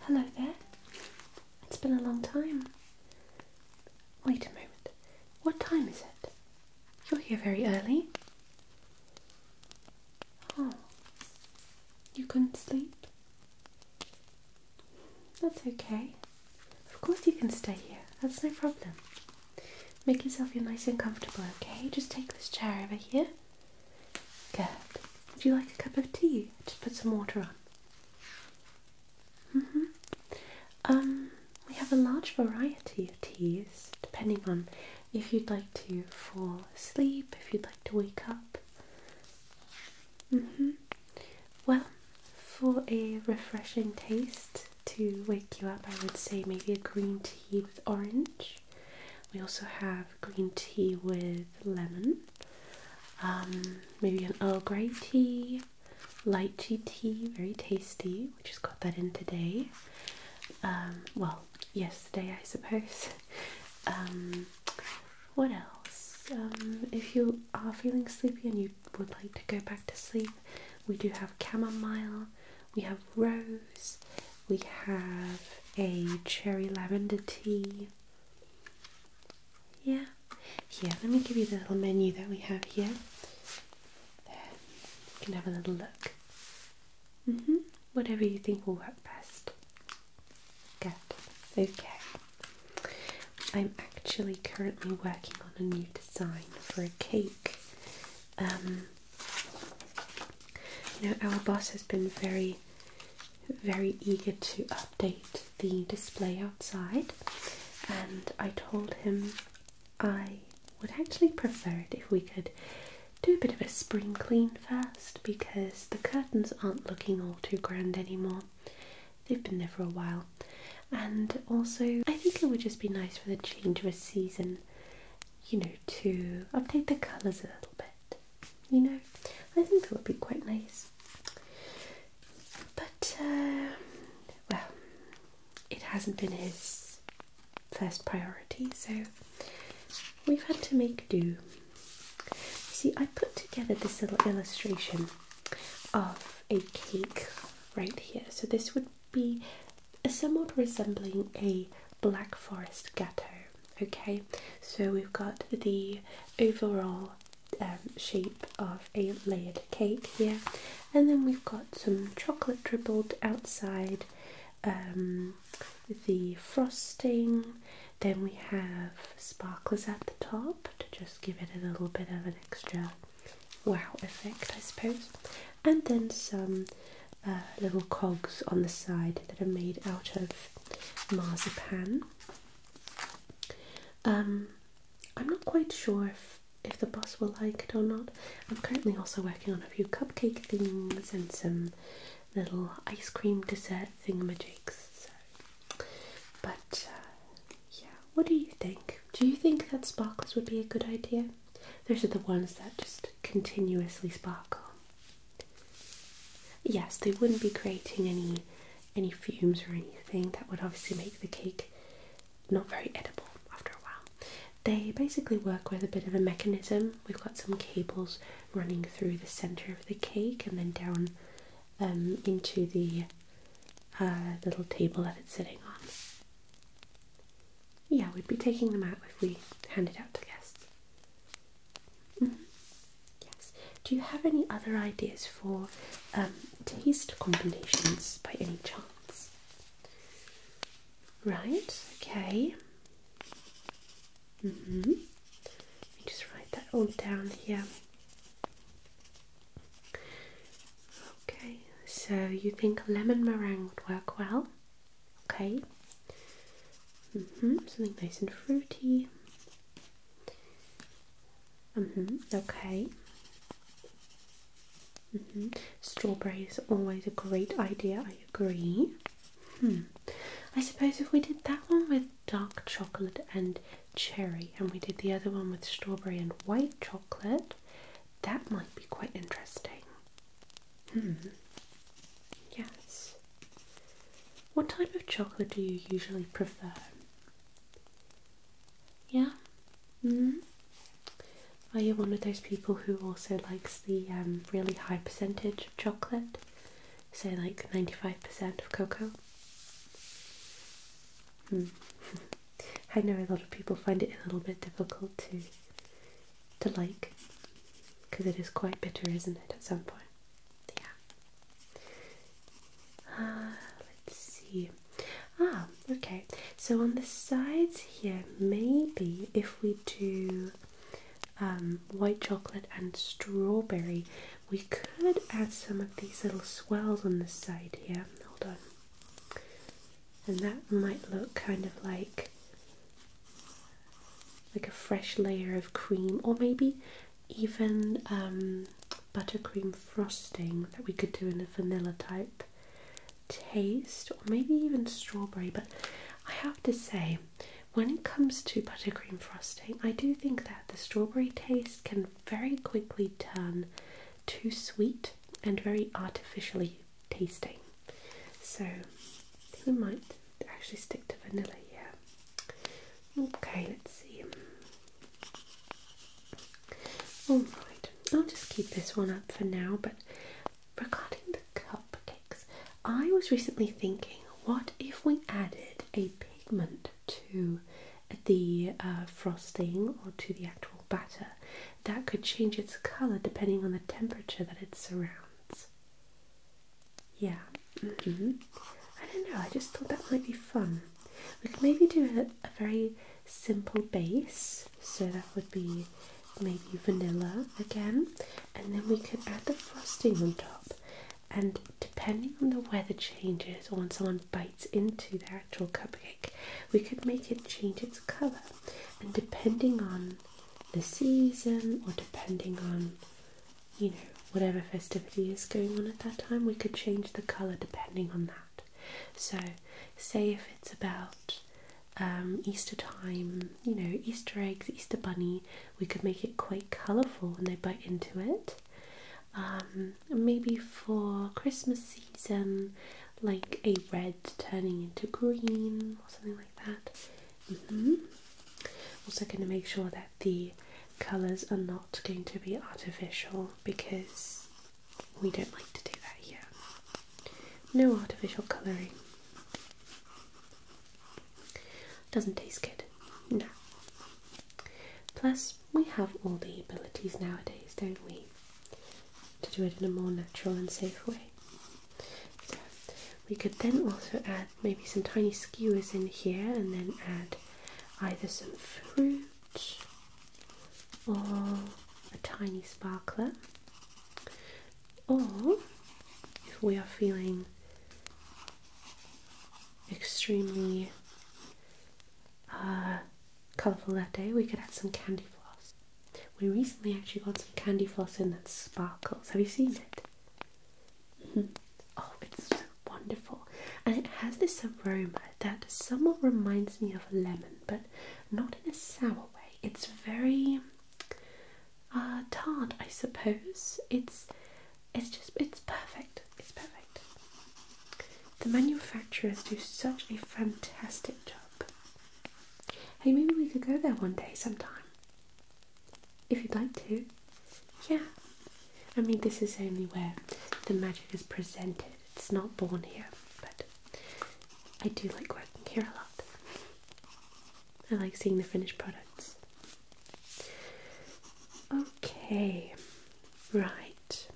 Hello there. It's been a long time. Wait a moment. What time is it? You're here very early. Oh, you couldn't sleep? That's okay. Of course, you can stay here. That's no problem. Make yourself feel nice and comfortable, okay? Just take this chair over here. Good. Would you like a cup of tea? Just put some water on. -hmm. Um, we have a large variety of teas depending on if you'd like to fall asleep, if you'd like to wake up. -hmm. Well, for a refreshing taste to wake you up, I would say maybe a green tea with orange. We also have green tea with lemon, um, maybe an Earl Grey tea, light tea, very tasty. We just got that in today. Um, well, yesterday, I suppose. Um, what else? if you are feeling sleepy and you would like to go back to sleep, we do have chamomile, we have rose, we have a cherry lavender tea. Yeah, here, let me give you the little menu that we have here. There, you can have a little look. hmm, whatever you think will work best. Good, okay. I'm actually currently working on a new design for a cake. Um, now, our boss has been very, very eager to update the display outside, and I told him I would actually prefer it if we could do a bit of a spring clean first because the curtains aren't looking all too grand anymore. They've been there for a while, and also I think it would just be nice for the change of season, you know, to update the colours a little bit you know, I think it would be quite nice. But, uh, well, it hasn't been his first priority, so we've had to make do. See, I put together this little illustration of a cake right here. So this would be somewhat resembling a Black Forest Gâteau. Okay, so we've got the overall um, shape of a layered cake here, and then we've got some chocolate dribbled outside um, the frosting. Then we have sparkles at the top to just give it a little bit of an extra wow effect, I suppose, and then some uh, little cogs on the side that are made out of marzipan. Um, I'm not quite sure if, if the boss will like it or not. I'm currently also working on a few cupcake things and some little ice cream dessert thingamajigs. But uh, yeah, what do you think? Do you think that sparklers would be a good idea? Those are the ones that just continuously sparkle. Yes, they wouldn't be creating any any fumes or anything that would obviously make the cake not very edible after a while. They basically work with a bit of a mechanism. We've got some cables running through the center of the cake and then down um, into the uh, little table that it's sitting on. Yeah, we'd be taking them out if we handed out to guests. Mm-hmm. Yes. Do you have any other ideas for um, taste combinations by any chance? Right. Okay. Mm-hmm. Let me just write that all down here. Okay. So you think lemon meringue would work well? Okay. hmm Something nice and fruity. hmm Okay. Mm -hmm. Strawberry is always a great idea, I agree. Hmm. I suppose if we did that one with dark chocolate and cherry, and we did the other one with strawberry and white chocolate, that might be quite interesting. Hmm. Yes. What type of chocolate do you usually prefer? Yeah? hmm. Are you one of those people who also likes the um, really high percentage of chocolate? Say like 95% of cocoa? Hmm. I know a lot of people find it a little bit difficult to to like because it is quite bitter, isn't it, at some point? Yeah. Ah, let's see. Ah, okay. So on the sides here, maybe if we do um, white chocolate and strawberry, we could add some of these little swells on the side here. Hold on. And that might look kind of like like a fresh layer of cream, or maybe even um, buttercream frosting that we could do in a vanilla type taste, or maybe even strawberry. But I have to say, when it comes to buttercream frosting, I do think that the strawberry taste can very quickly turn too sweet and very artificially tasting. So we might actually stick to vanilla, yeah. Okay, let's see. Alright, I'll just keep this one up for now, but regarding the cupcakes, I was recently thinking what if we added a pigment to the uh, frosting or to the actual batter that could change its colour depending on the temperature that it surrounds? Yeah. Mm-hmm. I don't know. I just thought that might be fun. We could maybe do a, a very simple base. So that would be maybe vanilla again, and then we could add the frosting on top. And depending on the weather changes or when someone bites into the actual cupcake, we could make it change its colour. And depending on the season or depending on you know whatever festivity is going on at that time we could change the color depending on that so say if it's about um, easter time you know easter eggs easter bunny we could make it quite colorful when they bite into it um, maybe for christmas season like a red turning into green or something like that Mm -hmm. Also, going to make sure that the colours are not going to be artificial because we don't like to do that here. No artificial colouring. Doesn't taste good. No. Plus, we have all the abilities nowadays, don't we? To do it in a more natural and safe way we could then also add maybe some tiny skewers in here and then add either some fruit or a tiny sparkler. Or if we are feeling extremely uh, colourful that day, we could add some candy floss. We recently actually got some candy floss in that sparkles. Have you seen it? Mm-hmm. oh, it's wonderful, and it has this aroma that somewhat reminds me of a lemon, but not in a sour way. It's very uh, tart, I suppose. It's it's just it's perfect. It's perfect. The manufacturers do such a fantastic job. Hey, maybe we could go there one day sometime if you'd like to. Yeah. I mean, this is only where the magic is presented. It's not born here, but I do like working here a lot. I like seeing the finished products. Okay, right.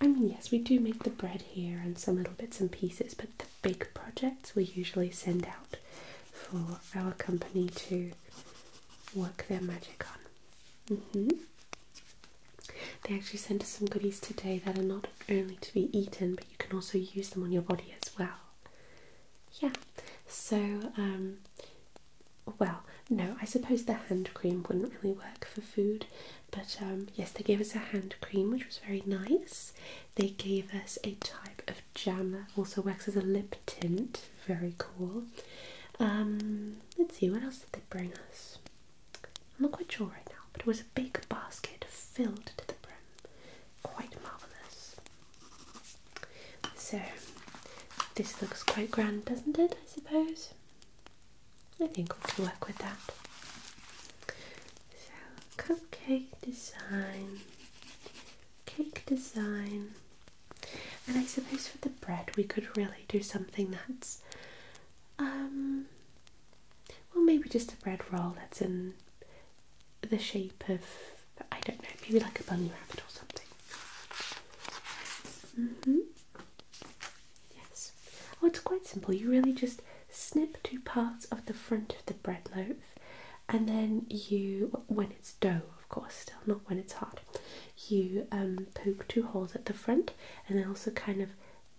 I mean, yes, we do make the bread here and some little bits and pieces, but big projects we usually send out for our company to work their magic on. Mm-hmm. They actually sent us some goodies today that are not only to be eaten, but you can also use them on your body as well. Yeah, so, um, well, no, I suppose the hand cream wouldn't really work for food, but um, yes, they gave us a hand cream which was very nice. They gave us a type of jam that also works as a lip tint. Very cool. Um, let's see, what else did they bring us? I'm not quite sure right now, but it was a big basket filled to the brim. Quite marvellous. So, this looks quite grand, doesn't it? I suppose. I think we can work with that. So, cupcake design cake design. And I suppose for the bread, we could really do something that's, um, well, maybe just a bread roll that's in the shape of, I don't know, maybe like a bunny rabbit or something. Mm hmm. Yes. Oh, it's quite simple. You really just snip two parts of the front of the bread loaf and then you, when it's dough, of course, still not when it's hard, you um, poke two holes at the front and then also kind of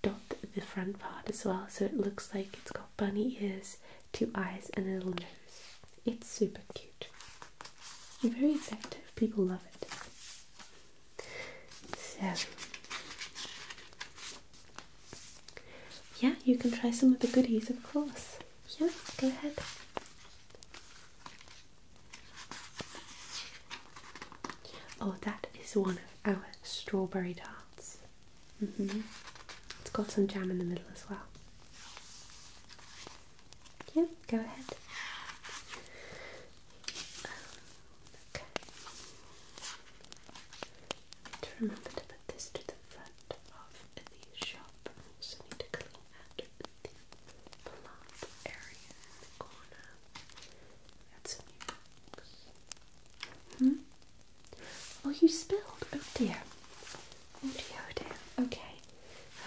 dot the front part as well so it looks like it's got bunny ears, two eyes, and a little nose. It's super cute. Very effective, people love it. So, yeah, you can try some of the goodies, of course. Yeah, go ahead. Oh, that is one of our strawberry tarts. -hmm. It's got some jam in the middle as well. Yeah, go ahead. okay of the shop. So need to clean the plump area corner. That's new Hmm? Oh, you spilled. Oh dear. Oh dear, oh dear. Okay.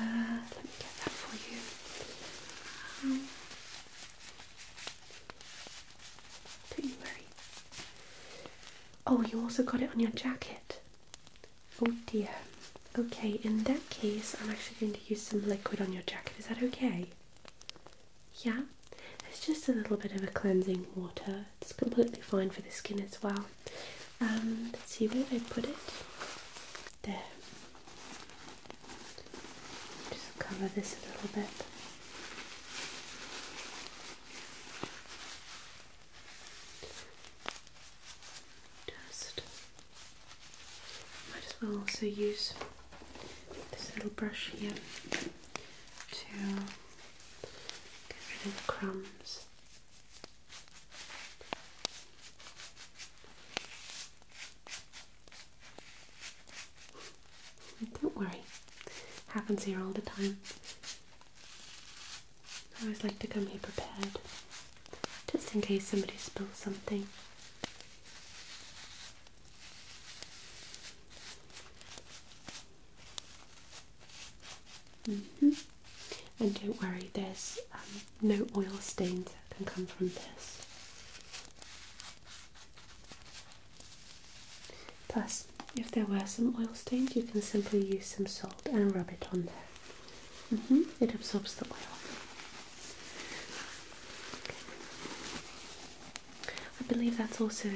Uh, let me get that for you. Um, don't you worry. Oh, you also got it on your jacket. Oh dear. Okay, in that case, I'm actually going to use some liquid on your jacket. Is that okay? Yeah? It's just a little bit of a cleansing water. It's completely fine for the skin as well. Um, see, where I put it? There. Just cover this a little bit. Just might as well also use this little brush here to get rid of the crumbs. Don't worry, happens here all the time. I always like to come here prepared, just in case somebody spills something. -hmm. And don't worry, there's um, no oil stains that can come from this. Plus, if there were some oil stains, you can simply use some salt and rub it on there. Mm-hmm. It absorbs the oil. I believe that's also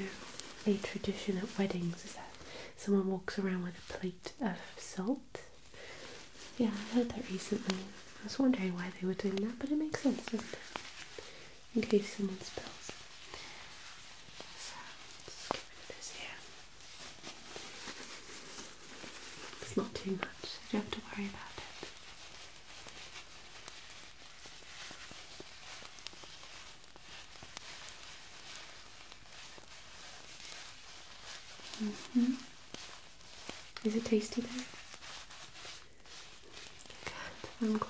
a tradition at weddings, is that someone walks around with a plate of salt. Yeah, I heard that recently. I was wondering why they were doing that, but it makes sense, In case someone spills. It's not too much, so you don't have to worry about it. -hmm. Is it tasty though? Good, I'm glad.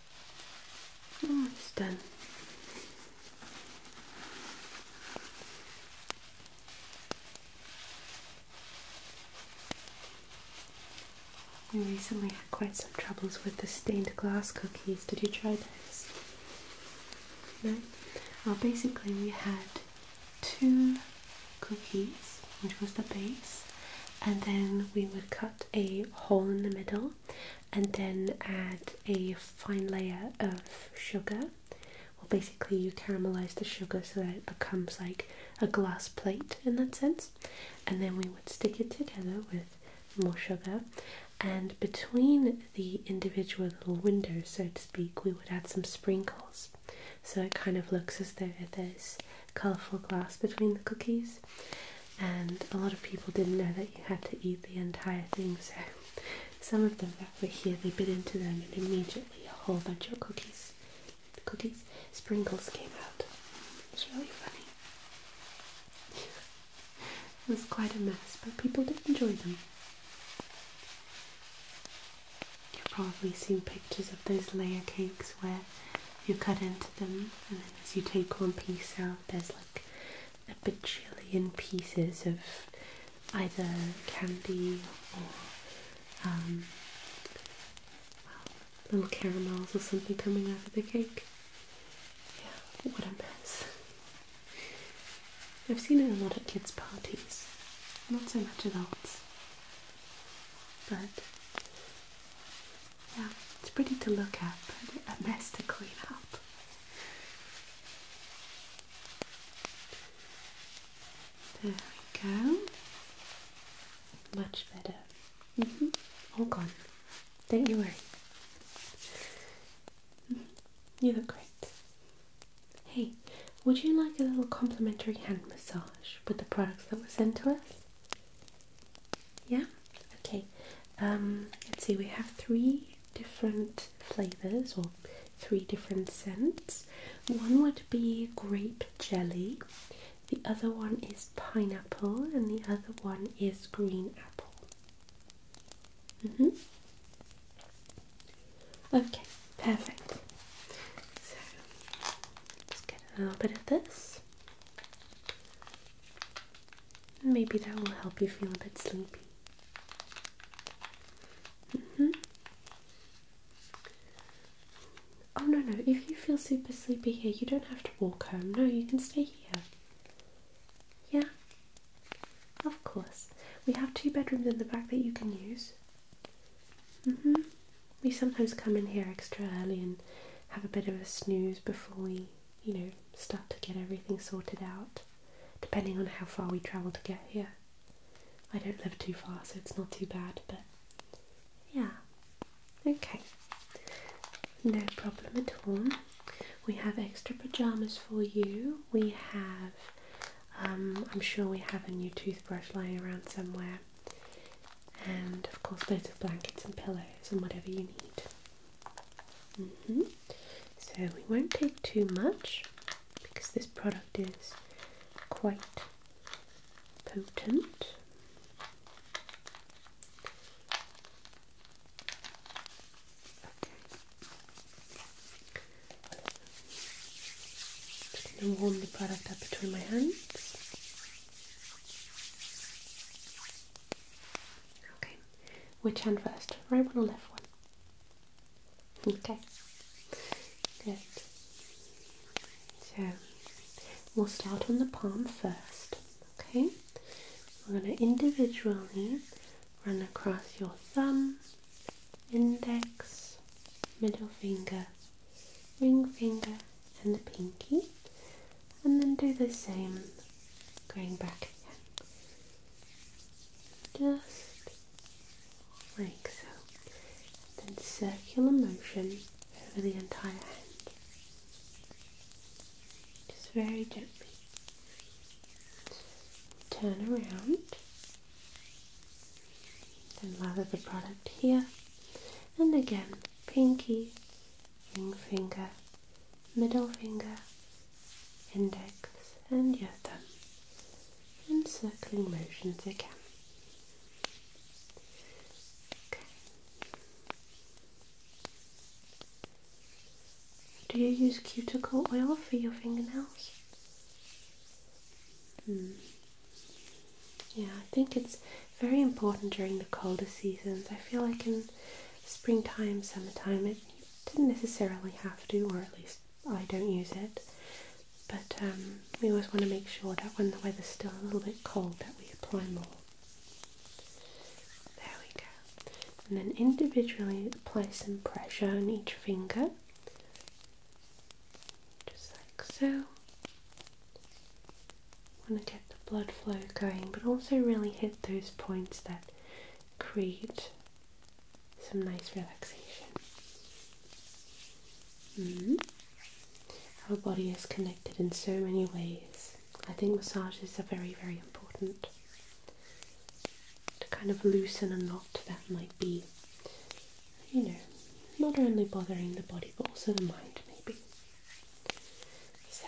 Oh, it's done. We recently had quite some troubles with the stained glass cookies. Did you try those? No? Well, basically, we had two cookies, which was the base, and then we would cut a hole in the middle and then add a fine layer of sugar. Well, basically, you caramelize the sugar so that it becomes like a glass plate in that sense, and then we would stick it together with more sugar. And between the individual little windows, so to speak, we would add some sprinkles so it kind of looks as though there's colourful glass between the cookies and a lot of people didn't know that you had to eat the entire thing. So, some of them that were here, they bit into them, and immediately a whole bunch of cookies, cookies, sprinkles came out. It's really funny. it was quite a mess, but people did enjoy them. You've probably seen pictures of those layer cakes where you cut into them, and then as you take one piece out, there's like a bajillion pieces of either candy or um, little caramels or something coming out of the cake. Yeah, what a mess. I've seen it a lot at kids' parties, not so much adults. But yeah, it's pretty to look at, but a mess to clean up. There we go. Much better. Mm -hmm. All gone. Don't you worry. Mm-hmm. You look great. Hey, would you like a little complimentary hand massage with the products that were sent to us? Yeah? Okay. Um, let's see, we have three different flavors or three different scents. One would be grape jelly, the other one is pineapple, and the other one is green apple. Mm hmm Okay, perfect. So let's get a little bit of this. Maybe that will help you feel a bit sleepy. -hmm. Oh no, no, if you feel super sleepy here, you don't have to walk home. No, you can stay here. Yeah? Of course. We have two bedrooms in the back that you can use. hmm We sometimes come in here extra early and have a bit of a snooze before we you know, start to get everything sorted out, depending on how far we travel to get here. I don't live too far, so it's not too bad, but yeah. Okay, no problem at all. We have extra pajamas for you. We have, um, I'm sure we have a new toothbrush lying around somewhere, and of course, loads of blankets and pillows and whatever you need. Mm-hmm. So we won't take too much because this product is quite potent. Okay. Just going to warm the product up between my hands. Okay, which hand first? Right one or left one? Okay, good. So we'll start on the palm first. Okay, we're going to individually run across your thumb, index, middle finger, ring finger, and the pinky, and then do the same going back again, just like so. then circular motion over the entire hand, just very gently. Turn around and lather the product here, and again, pinky, ring finger middle finger, index, and your thumb in circling motions again. Do you use cuticle oil for your fingernails? Hmm. Yeah, I think it's very important during the colder seasons. I feel like in springtime, summertime, it didn't necessarily have to, or at least I don't use it. But um, we always want to make sure that when the weather's still a little bit cold, that we apply more. There we go. And then individually apply some pressure on each finger, just like so want to get the blood flow going, but also really hit those points that create some nice relaxation. Mm-hmm. Our body is connected in so many ways. I think massages are very, very important to kind of loosen a knot that might be, you know, not only bothering the body but also the mind, maybe. So,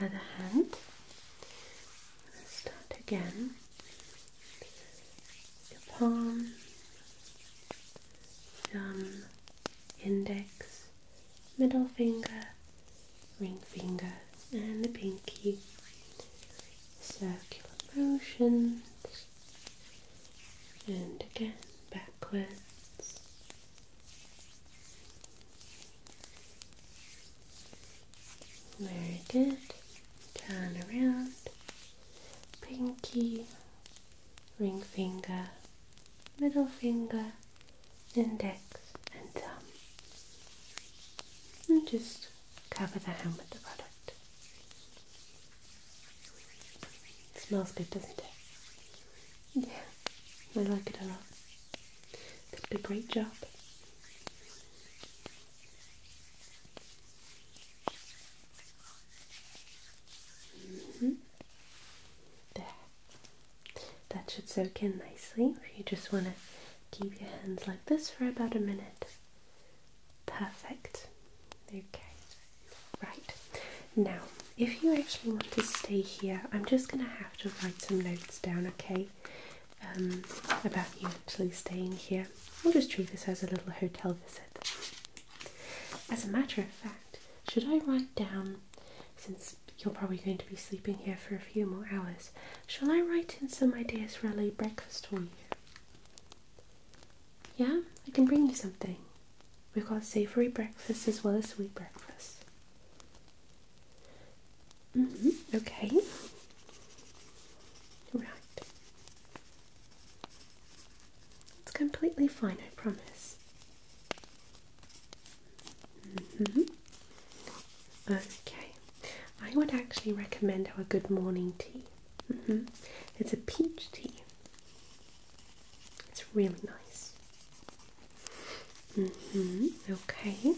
other hand. start again. Your palm, thumb, index, middle finger, ring finger, and the pinky. Circular motions, and again backwards where Very good. Turn around. Pinky, ring finger, middle finger, index, and thumb. And just cover the hand with the product. smells good, doesn't it? Yeah, I like it a lot. a great job. Mm-hmm. There. That should soak in nicely. If you just want to keep your hands like this for about a minute. Perfect. Okay. Right. Now, if you actually want to stay here, I'm just going to have to write some notes down, okay? Um, about you actually staying here. We'll just treat this as a little hotel visit. As a matter of fact, should I write down, since you're probably going to be sleeping here for a few more hours, shall I write in some ideas for a late breakfast for you? Yeah, I can bring you something. We've got savoury breakfast as well as sweet breakfast. Mm -hmm. Okay. Right. It's completely fine, I promise. Mm -hmm. Okay. I would actually recommend our good morning tea. Mm -hmm. It's a peach tea. It's really nice. Mm-hmm, okay.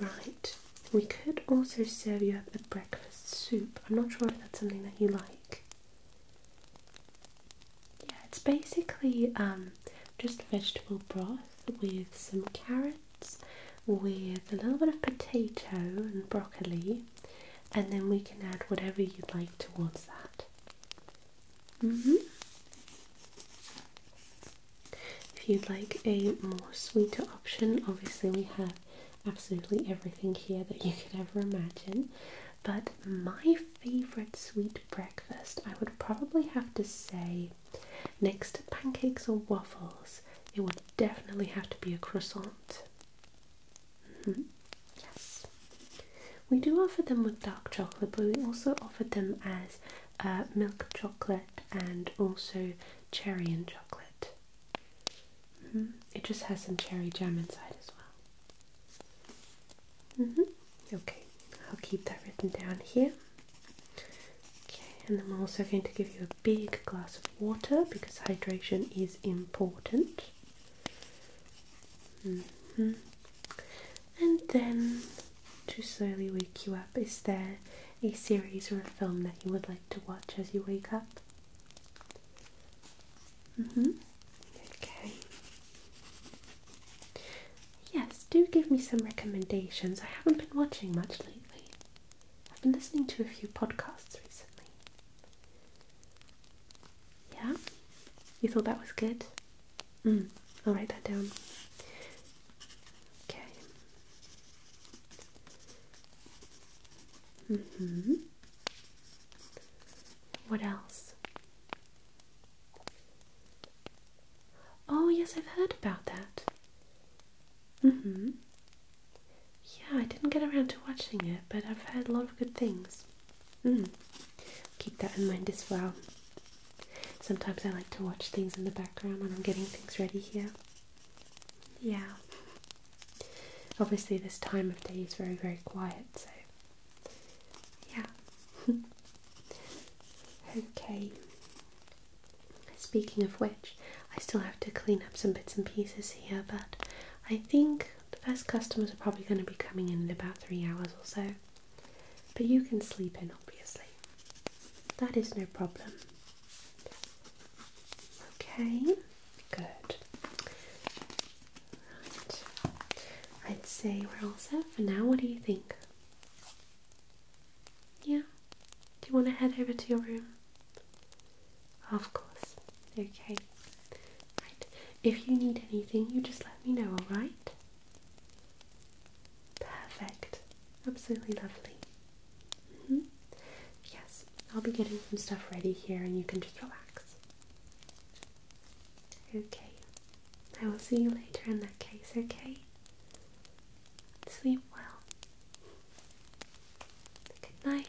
Right. We could also serve you up the breakfast soup. I'm not sure if that's something that you like. Yeah, it's basically um, just vegetable broth with some carrots, with a little bit of potato and broccoli, and then we can add whatever you'd like towards that. Mm-hmm. If you'd like a more sweeter option, obviously we have absolutely everything here that you could ever imagine. But my favorite sweet breakfast, I would probably have to say, next to pancakes or waffles, it would definitely have to be a croissant. Mm-hmm. Yes. We do offer them with dark chocolate, but we also offer them as uh, milk chocolate and also cherry and chocolate. Mm-hmm. It just has some cherry jam inside as well. Mm-hmm. Okay, I'll keep that written down here. Okay, and I'm also going to give you a big glass of water because hydration is important. Mm-hmm. And then, to slowly wake you up, is there a series or a film that you would like to watch as you wake up? Mm -hmm. Okay. Yes, do give me some recommendations. I haven't been watching much lately. I've been listening to a few podcasts recently. Yeah? You thought that was good? Mm, I'll write that down. Okay. hmm. What else? Oh, yes, I've heard about that. Mm hmm. Yeah, I didn't get around to watching it, but I've heard a lot of good things. Mm. Keep that in mind as well. Sometimes I like to watch things in the background when I'm getting things ready here. Yeah. Obviously, this time of day is very, very quiet, so yeah. okay. Speaking of which, I still have to clean up some bits and pieces here, but I think the first customers are probably going to be coming in in about three hours or so. But you can sleep in, obviously. That is no problem. Okay, good. Right. I'd say we're all set for now. What do you think? Yeah. Do you want to head over to your room? Of course. Okay. Right. If you need anything, you just let me know, alright? Perfect. Absolutely lovely. Mm-hmm. Yes, I'll be getting some stuff ready here and you can just relax. Okay. I will see you later in that case, okay? Sleep well. Good night.